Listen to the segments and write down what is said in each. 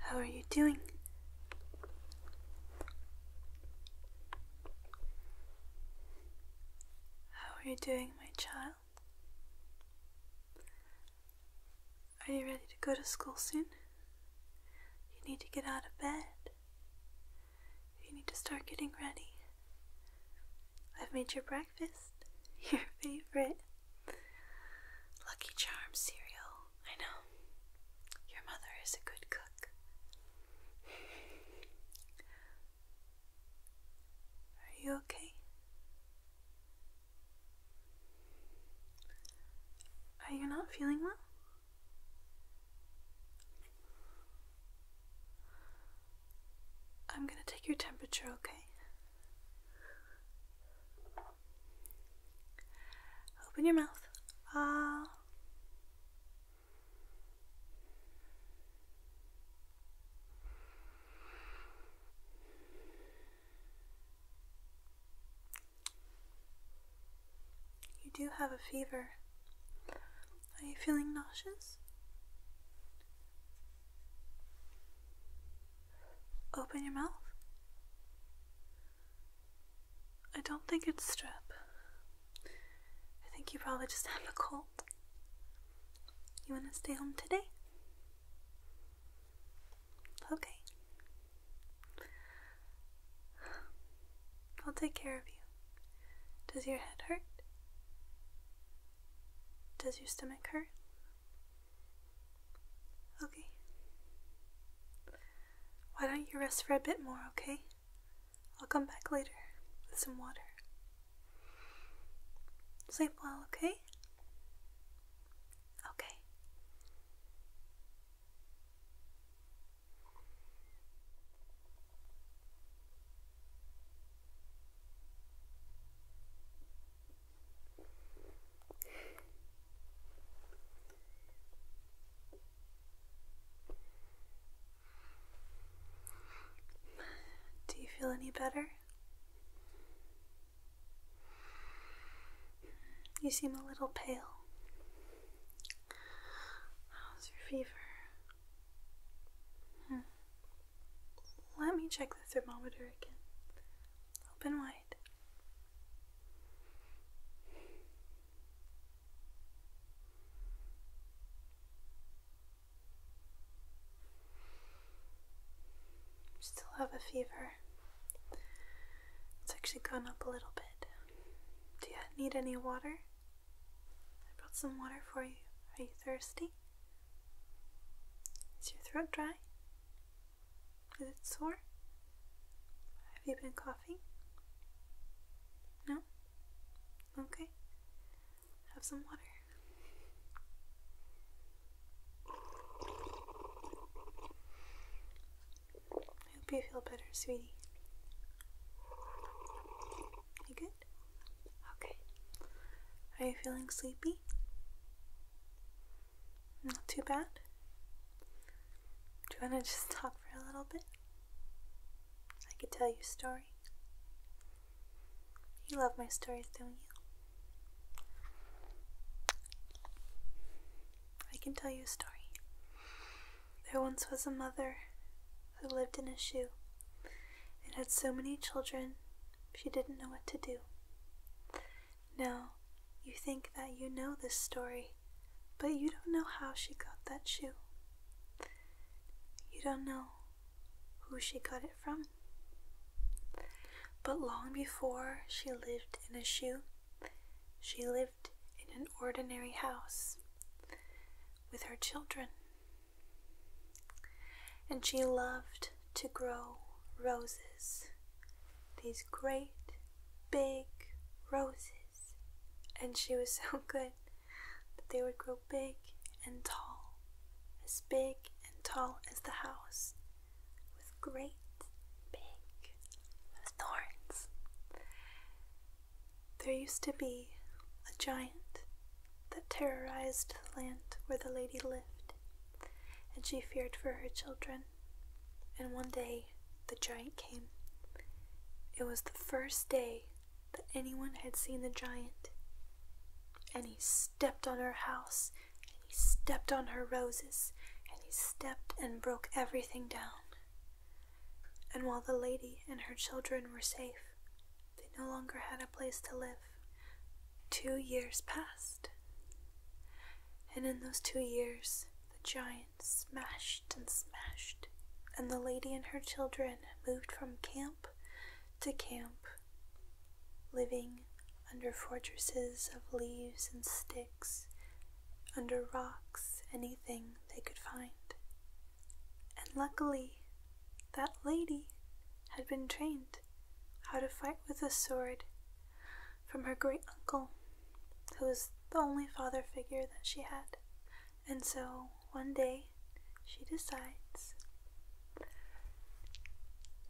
How are you doing? How are you doing, my child? Are you ready to go to school soon? You need to get out of bed. You need to start getting ready. I've made your breakfast, your favorite Lucky Charms cereal. I know. Your mother is a good cook. Are you okay? Are you not feeling well? I'm going to take your temperature, okay? Open your mouth. Ah. You do have a fever. Are you feeling nauseous? Open your mouth. I don't think it's strep. I think you probably just have a cold. You want to stay home today? Okay. I'll take care of you. Does your head hurt? Does your stomach hurt? Okay. Why don't you rest for a bit more, okay? I'll come back later with some water. Sleep well, okay? Okay. Do you feel any better? You seem a little pale. How's your fever? Hmm. Let me check the thermometer again. Open wide. Still have a fever. It's actually gone up a little bit. Do you need any water? I brought some water for you. Are you thirsty? Is your throat dry? Is it sore? Have you been coughing? No? Okay. Have some water. I hope you feel better, sweetie. You good? Okay. Are you feeling sleepy? Not too bad? Do you want to just talk for a little bit? I could tell you a story. You love my stories, don't you? I can tell you a story. There once was a mother who lived in a shoe and had so many children she didn't know what to do. Now, you think that you know this story, but you don't know how she got that shoe. You don't know who she got it from. But long before she lived in a shoe, she lived in an ordinary house with her children. And she loved to grow roses, these great big roses. And she was so good that they would grow big and tall, as big and tall as the house with great big thorns. There used to be a giant that terrorized the land where the lady lived, and she feared for her children. And one day the giant came. It was the first day that anyone had seen the giant, and he stepped on her house he stepped on her roses, and he stepped and broke everything down. And while the lady and her children were safe, they no longer had a place to live. Two years passed. And in those two years, the giant smashed and smashed, and the lady and her children moved from camp to camp living under fortresses of leaves and sticks, under rocks, anything they could find. And luckily, that lady had been trained how to fight with a sword from her great uncle, who was the only father figure that she had. And so one day she decides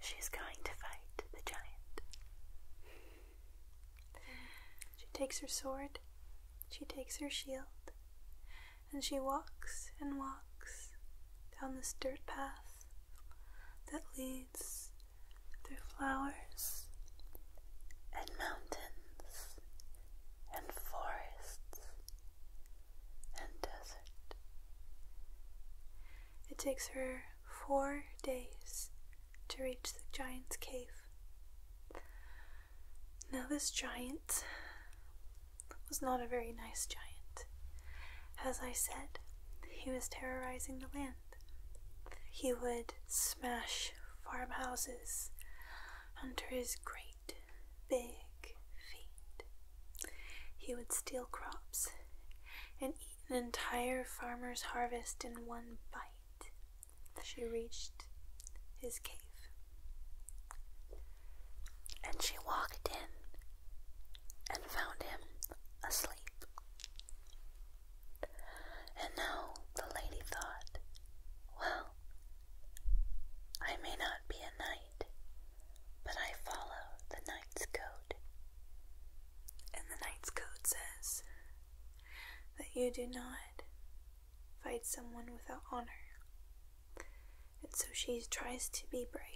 She's going to fight the giant. She takes her sword, she takes her shield, and she walks and walks down this dirt path that leads through flowers and mountains and forests and desert. It takes her four days to reach the giant's cave. Now, this giant was not a very nice giant. As I said, he was terrorizing the land. He would smash farmhouses under his great big feet. He would steal crops and eat an entire farmer's harvest in one bite. She reached his cave. And she walked in and found him asleep. And now the lady thought, well, I may not be a knight, but I follow the knight's code. And the knight's code says that you do not fight someone without honor. And so she tries to be brave.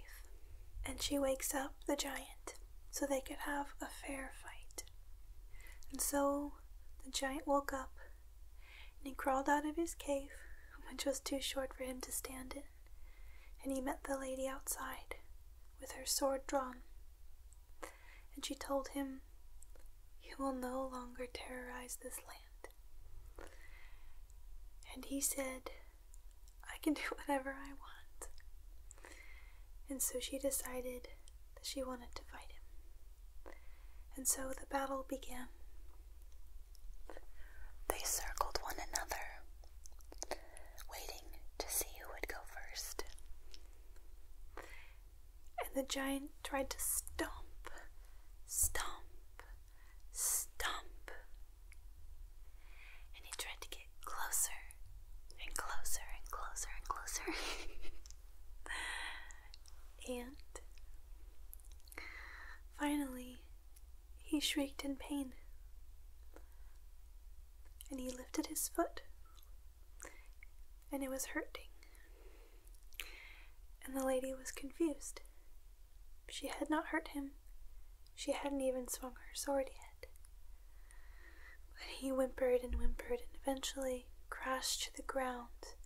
And she wakes up the giant so they could have a fair fight. And so the giant woke up and he crawled out of his cave, which was too short for him to stand in and he met the lady outside, with her sword drawn. And she told him, You will no longer terrorize this land. And he said, I can do whatever I want. And so she decided that she wanted to fight him. And so the battle began. They circled one another waiting to see who would go first. And the giant tried to stomp, stomp, stomp. And he tried to get closer and closer and closer and closer. and finally, he shrieked in pain, and he lifted his foot, and it was hurting. And the lady was confused. She had not hurt him, she hadn't even swung her sword yet. But he whimpered and whimpered, and eventually crashed to the ground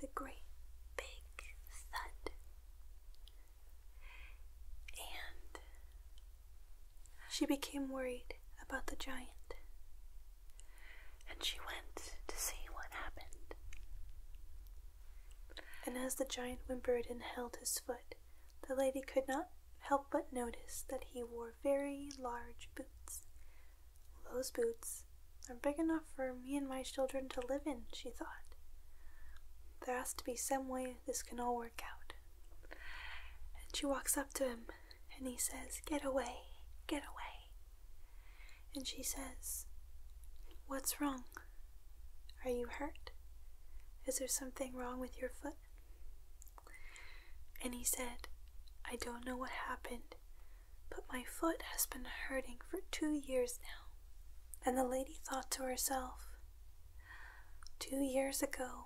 the great big thud. And she became worried about the giant, and she went to see what happened. And as the giant whimpered and held his foot, the lady could not help but notice that he wore very large boots. Those boots are big enough for me and my children to live in, she thought. There has to be some way this can all work out. And she walks up to him and he says, Get away, get away. And she says, What's wrong? Are you hurt? Is there something wrong with your foot? And he said, I don't know what happened, but my foot has been hurting for two years now. And the lady thought to herself, Two years ago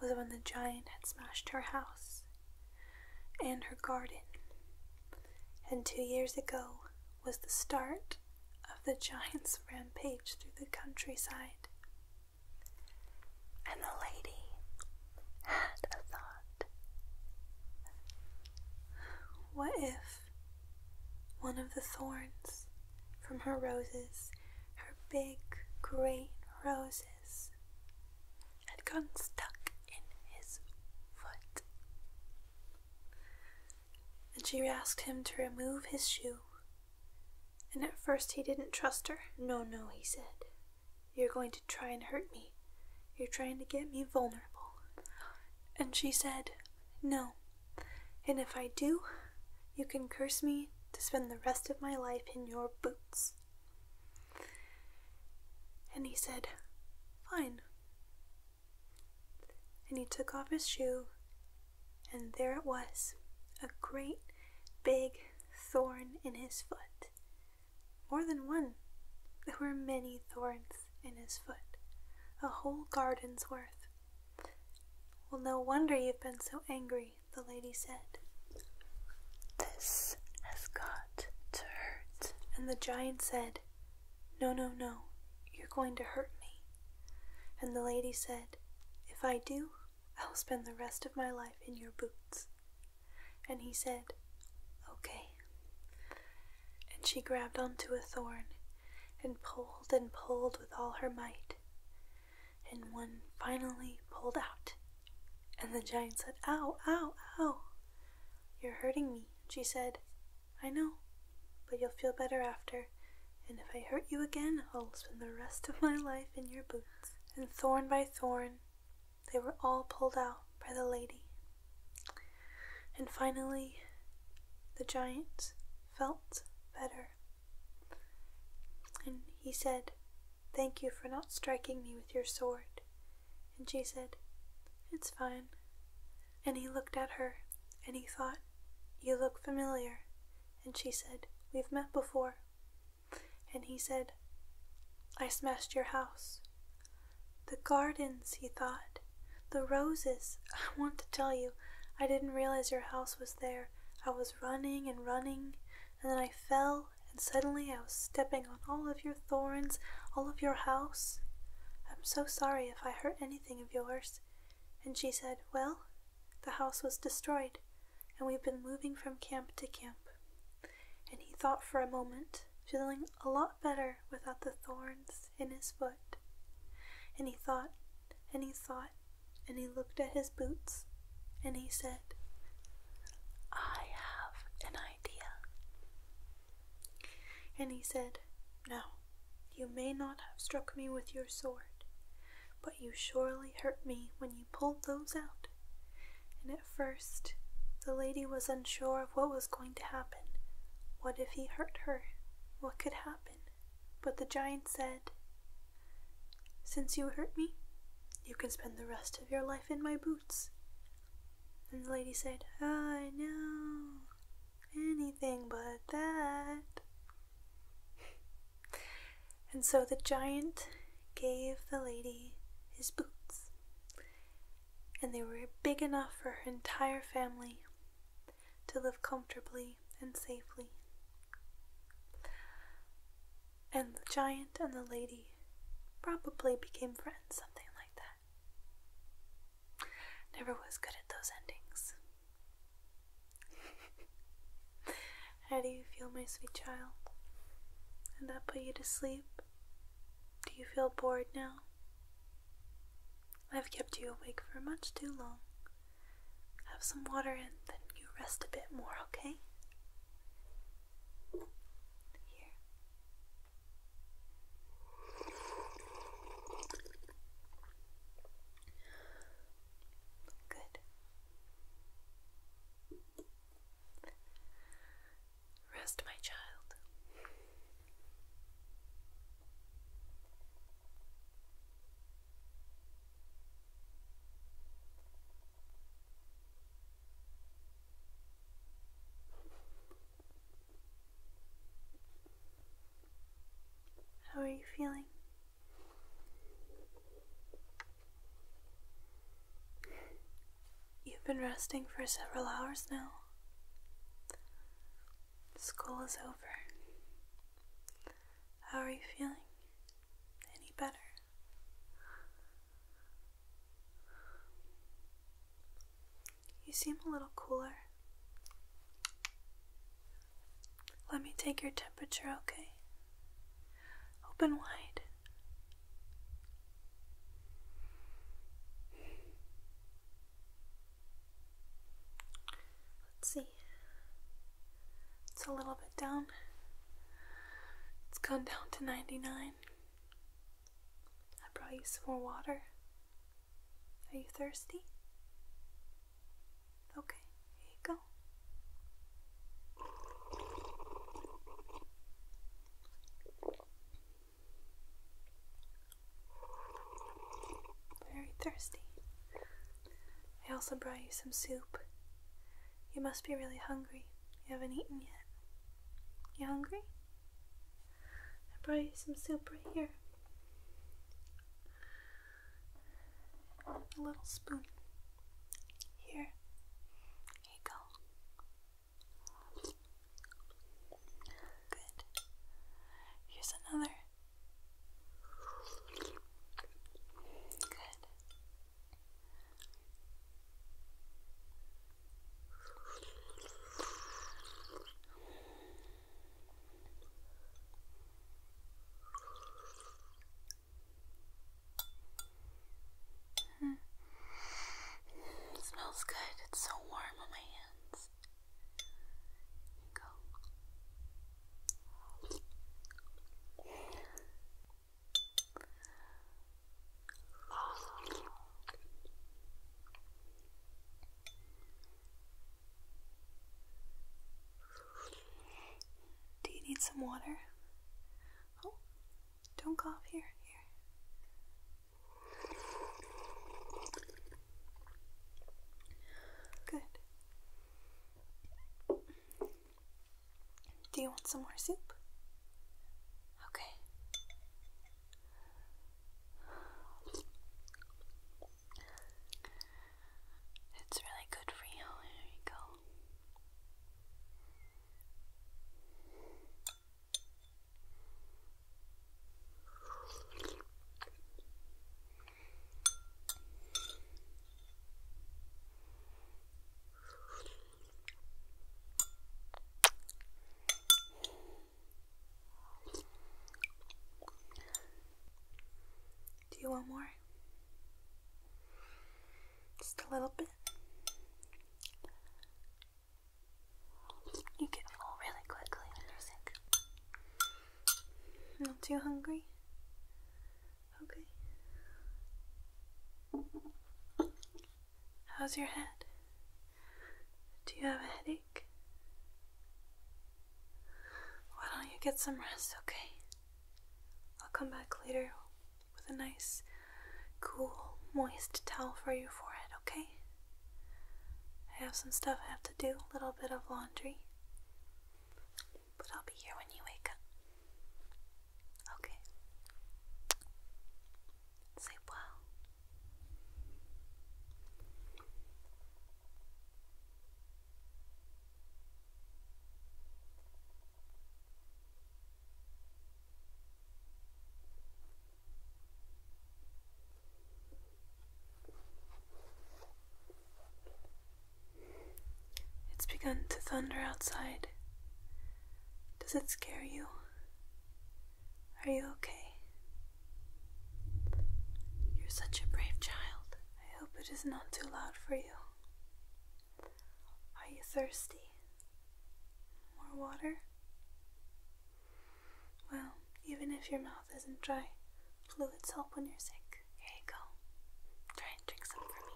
was when the giant had smashed her house and her garden, and two years ago was the start of the giant's rampage through the countryside. And the lady had a thought. What if one of the thorns from her roses, her big, great roses, had gone stuck in his foot. And she asked him to remove his shoe. And at first he didn't trust her. No, no, he said. You're going to try and hurt me. You're trying to get me vulnerable. And she said, No, and if I do, you can curse me to spend the rest of my life in your boots. And he said, Fine. And he took off his shoe, and there it was a great big thorn in his foot. More than one. There were many thorns in his foot, a whole garden's worth. Well, no wonder you've been so angry, the lady said. This has got to hurt. And the giant said, No, no, no, you're going to hurt me. And the lady said, If I do, I'll spend the rest of my life in your boots. And he said, Okay. And she grabbed onto a thorn and pulled and pulled with all her might, and one finally pulled out. And the giant said, Ow, ow, ow, you're hurting me. she said, I know, but you'll feel better after. And if I hurt you again, I'll spend the rest of my life in your boots. And thorn by thorn, they were all pulled out by the lady. And finally, the giant felt better. And he said, Thank you for not striking me with your sword. And she said, It's fine. And he looked at her, and he thought, You look familiar. And she said, We've met before. And he said, I smashed your house. The gardens, he thought, the roses. I want to tell you, I didn't realize your house was there. I was running and running, and then I fell, and suddenly I was stepping on all of your thorns, all of your house. I'm so sorry if I hurt anything of yours. And she said, Well, the house was destroyed, and we've been moving from camp to camp. And he thought for a moment, feeling a lot better without the thorns in his foot. And he thought, and he thought, and he looked at his boots, and he said, I have an idea. And he said, "Now, you may not have struck me with your sword, but you surely hurt me when you pulled those out. And at first, the lady was unsure of what was going to happen. What if he hurt her? What could happen? But the giant said, Since you hurt me, you can spend the rest of your life in my boots. And the lady said, I know, anything but that. and so the giant gave the lady his boots, and they were big enough for her entire family to live comfortably and safely. And the giant and the lady probably became friends, something like that. Never was good at those endings. How do you feel, my sweet child? Did that put you to sleep? Do you feel bored now? I've kept you awake for much too long. Have some water and then you rest a bit more, okay? Here. Good. Rest, my child. How are you feeling? You've been resting for several hours now. School is over. How are you feeling? Any better? You seem a little cooler. Let me take your temperature, okay? Open wide. Let's see. It's a little bit down. It's gone down to 99. I brought you some more water. Are you thirsty? Okay, here you go. Very thirsty. I also brought you some soup. You must be really hungry. You haven't eaten yet. You hungry? I brought you some soup right here. A little spoon. Here. Here you go. Good. Here's another. Good. Mm -hmm. It smells good. It's so warm on my hands go. Do you need some water? Oh, don't cough here. Here. Good. Do you want some more soup? Okay. It's really good for you. There you go. Do you want more? Just a little bit. You get full really quickly when you're sick. Not too hungry? Okay. How's your head? Do you have a headache? Why don't you get some rest, okay? I'll come back later with a nice, cool, moist towel for your forehead, okay? I have some stuff I have to do, a little bit of laundry. But I'll be here when you wake up. Okay. Sleep well. It's begun to thunder outside. Does it scare you? Are you okay? You're such a brave child. I hope it is not too loud for you. Are you thirsty? More water? Well, even if your mouth isn't dry, fluids help when you're sick. Here you go. Try and drink some for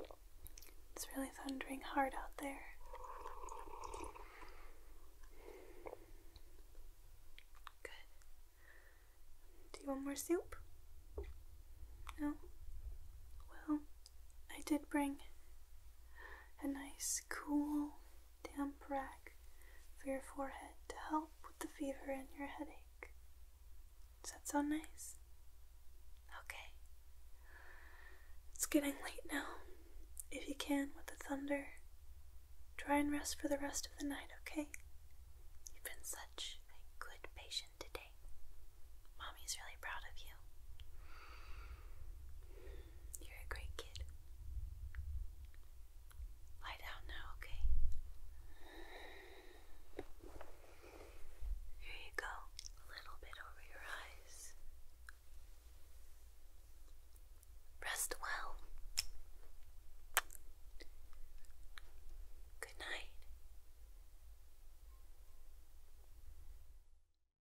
me. It's really thundering hard out there. Good. Do you want more soup? No? Well, I did bring a nice, cool, damp rag for your forehead to help with the fever and your headache. Does that sound nice? Okay. It's getting late now. If you can, with the thunder, try and rest for the rest of the night, okay? You've been such a good patient today. Mommy's really proud of you. You're a great kid. Lie down now, okay? Here you go, a little bit over your eyes. Rest well. Good night.